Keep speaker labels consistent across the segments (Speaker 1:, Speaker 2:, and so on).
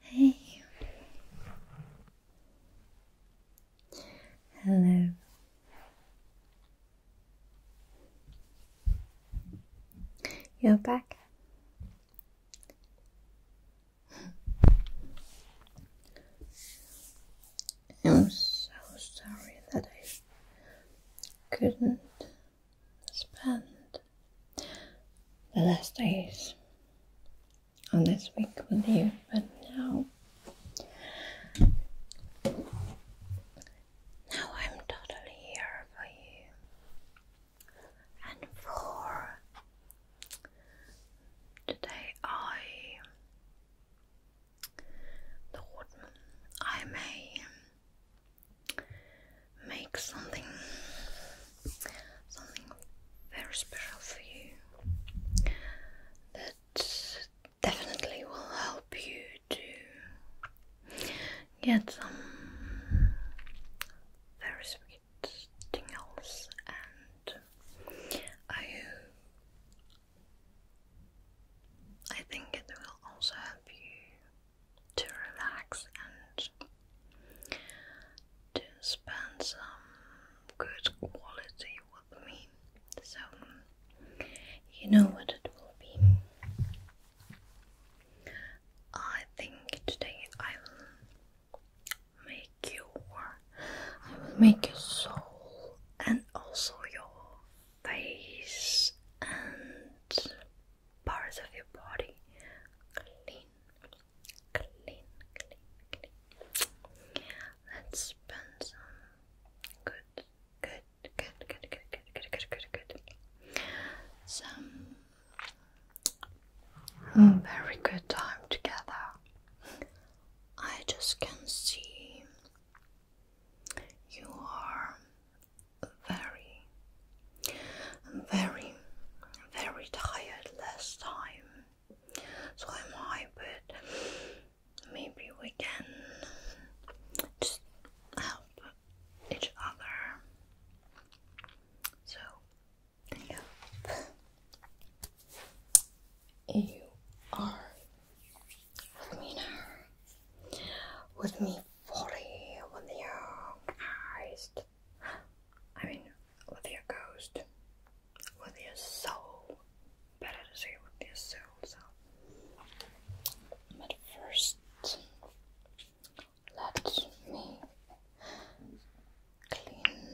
Speaker 1: Hey. Hello. You're back. I'm so sorry that I couldn't spend the last days on this week with you, but now. Now I'm totally here for you and for today I thought I may make something something very special for you that definitely will help you to get some very sweet tingles and I I think it will also help you to relax and to spend some good quality with me. So, you know what it will be. I think today I will make you, I will make your soul and also your face and parts of your body clean, clean, clean, clean. Let's spend some good, good, good, good, good, good, good, good, good, good. Some very good time together. I just can see you are very, very, very tired last time, so i am I, but maybe we can just help each other. So, yeah. You are with me now. With me fully with your eyes. I mean, with your ghost, with your soul. Better to see with your soul. So, but first, let me clean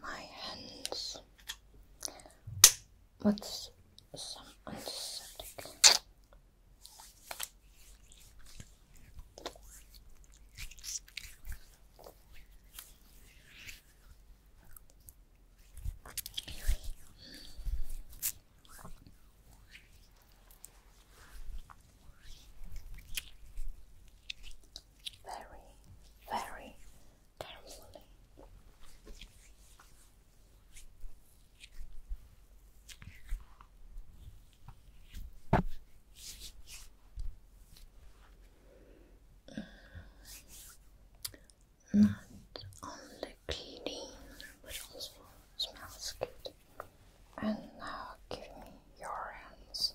Speaker 1: my hands with some antiseptic. Very, very carefully. Not only clean, but also smells good. And now give me your hands.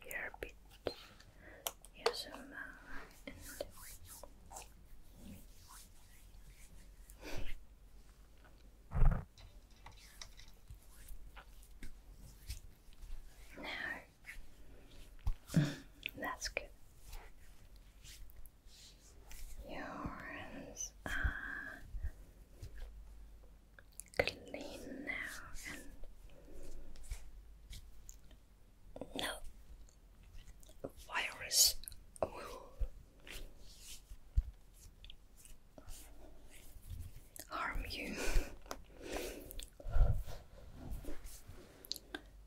Speaker 1: Here bit. Yes, and, uh, that's good. Your hands are clean now and no virus will harm you.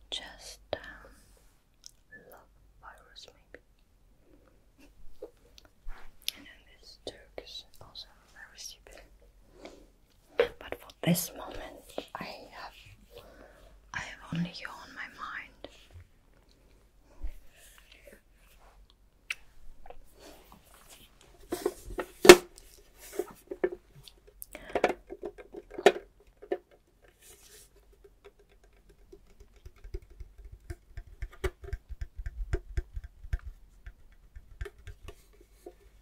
Speaker 1: Just um, love virus maybe. And this Turk also very stupid. But for this moment, I have I have only you on my mind.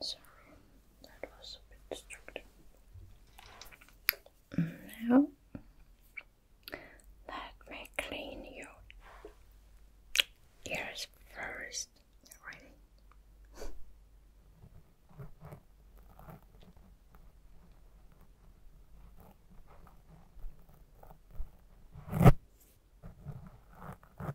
Speaker 1: Sorry, that was a bit distracting. Now, let me clean your ears first. Really?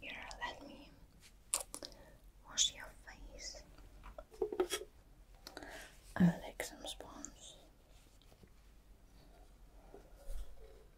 Speaker 1: Here, let me wash your face. I will take some sponge.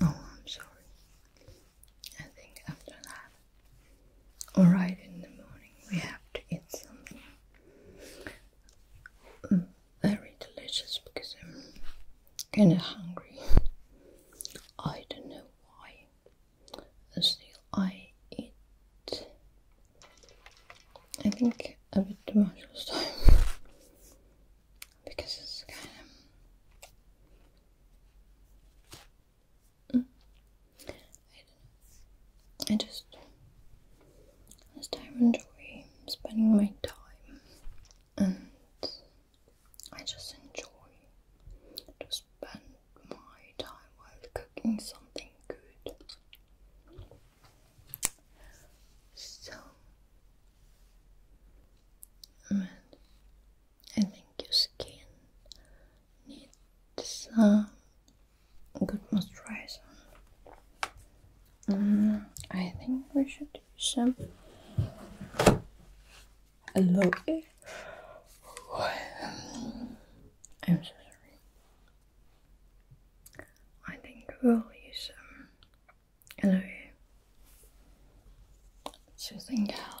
Speaker 1: Oh, I'm sorry. I think after that, or in the morning, we have to eat something mm, very delicious because I'm kind of hungry. I don't know why. Uh, still, I eat. I think a bit too much this time because it's kind of. I, mm. I just. I time enjoy spending my time and I just enjoy to spend my time while cooking something good. So, mm. I think your skin needs some good moisturizer. Mm, I think we should do some Loki. I'm so sorry. I think we'll use some hello Susan Gal.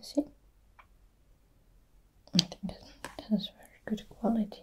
Speaker 1: See? I think that, that is very good quality.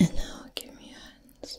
Speaker 1: And now give me hands.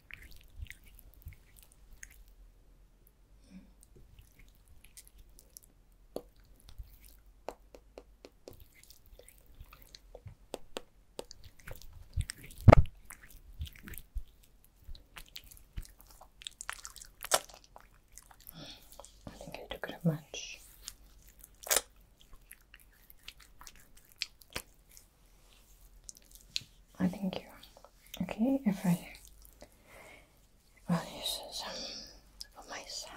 Speaker 1: I think I took it much. I think you okay if I well this is um, for myself.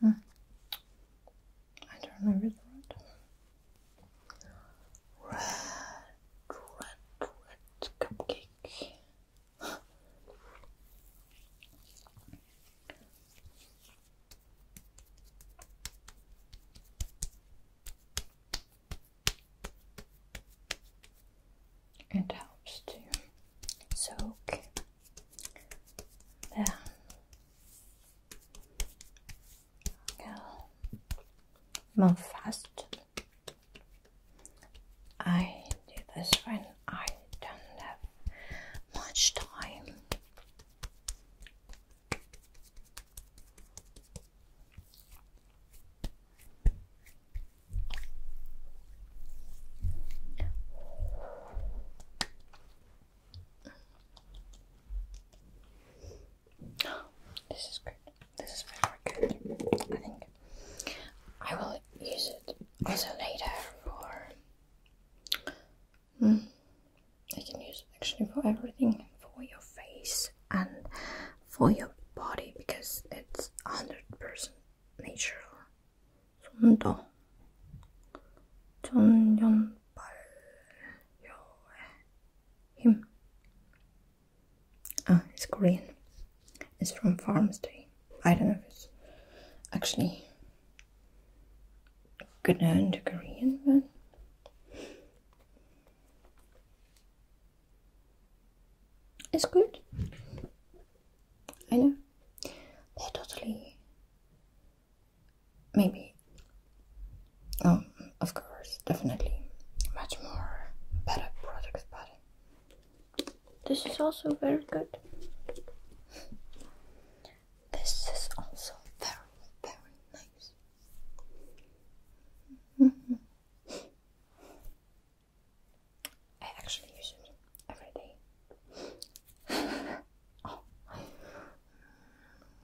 Speaker 1: Hmm. I don't remember Red, red, red cupcake. It helps to soak there. Go. Move fast. I do this when I don't have much time. This is good. This is very good. I think I will use it also later for. Hmm, I can use it actually for everything for your face and for your body because it's 100% natural 좀더 전연발효의 힘. Ah, it's Korean. It's from Farmstay. I don't know if it's actually good known to Korean, but. It's good. I know. They're totally. Maybe. Oh, of course, definitely. Much more better products, but. This is also very good. This is also very, very nice. I actually use it every day. oh,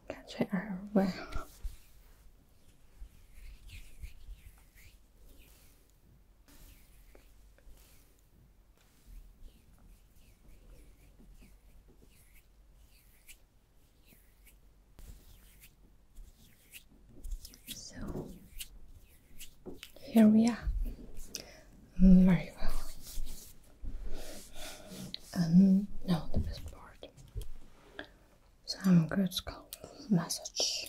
Speaker 1: catch it everywhere. So here we are. Very well. And um, now the best part. Some good scalp massage.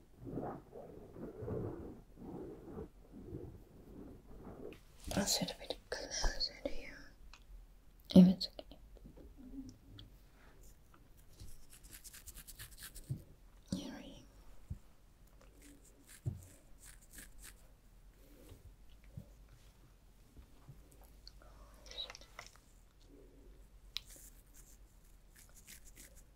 Speaker 1: I'll sit a bit closer to you, if it's okay. You're ready.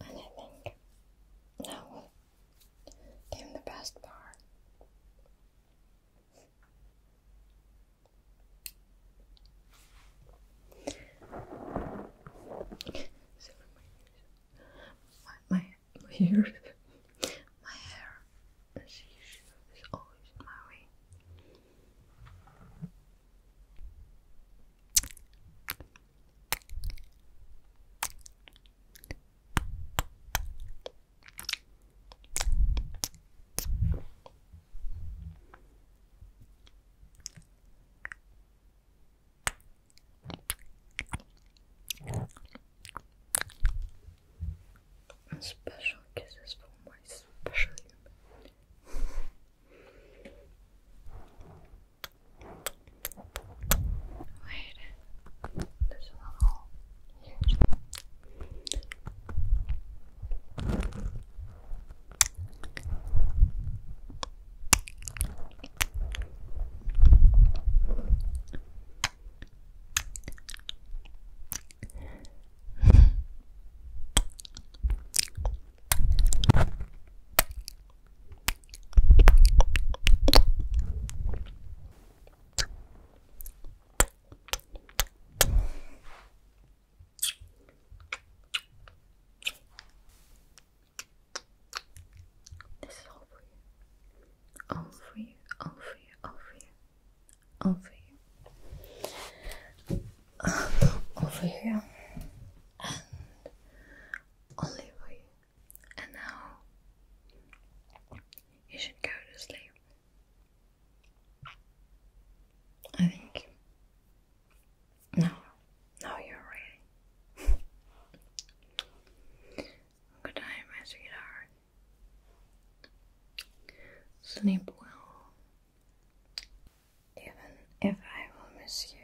Speaker 1: And I think now will came the best part. my My, my, ears. my hair is always in my way. Special kisses for my special human. Wait, there's a hole this is all for you. All for you, all for you, all for you over here, um, over here, and over you. And now you should go to sleep. I think. No, no, you're ready. Good night, my sweetheart. Sleep well. Even if I will miss you,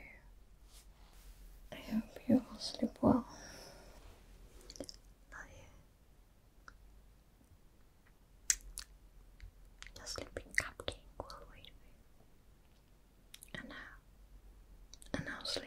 Speaker 1: I hope you will sleep well. Love you. Your sleeping cupcake will wait for you. And now, and now sleep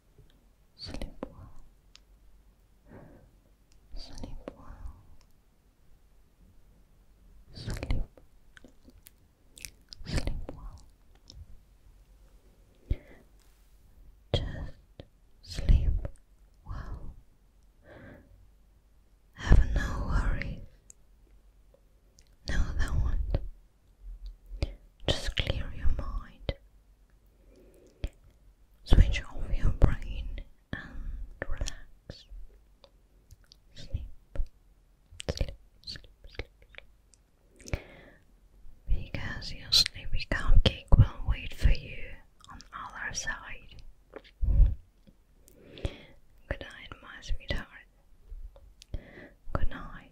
Speaker 1: Sleep well. Sleep well. Sleep. Sleep well. Just sleep well. Have no worries. No, there not Just clear your mind Switch off your brain and relax. Sleep, sleep, sleep, sleep. Because your sleepy cupcake will wait for you on other side. Good night, my sweetheart. Good night.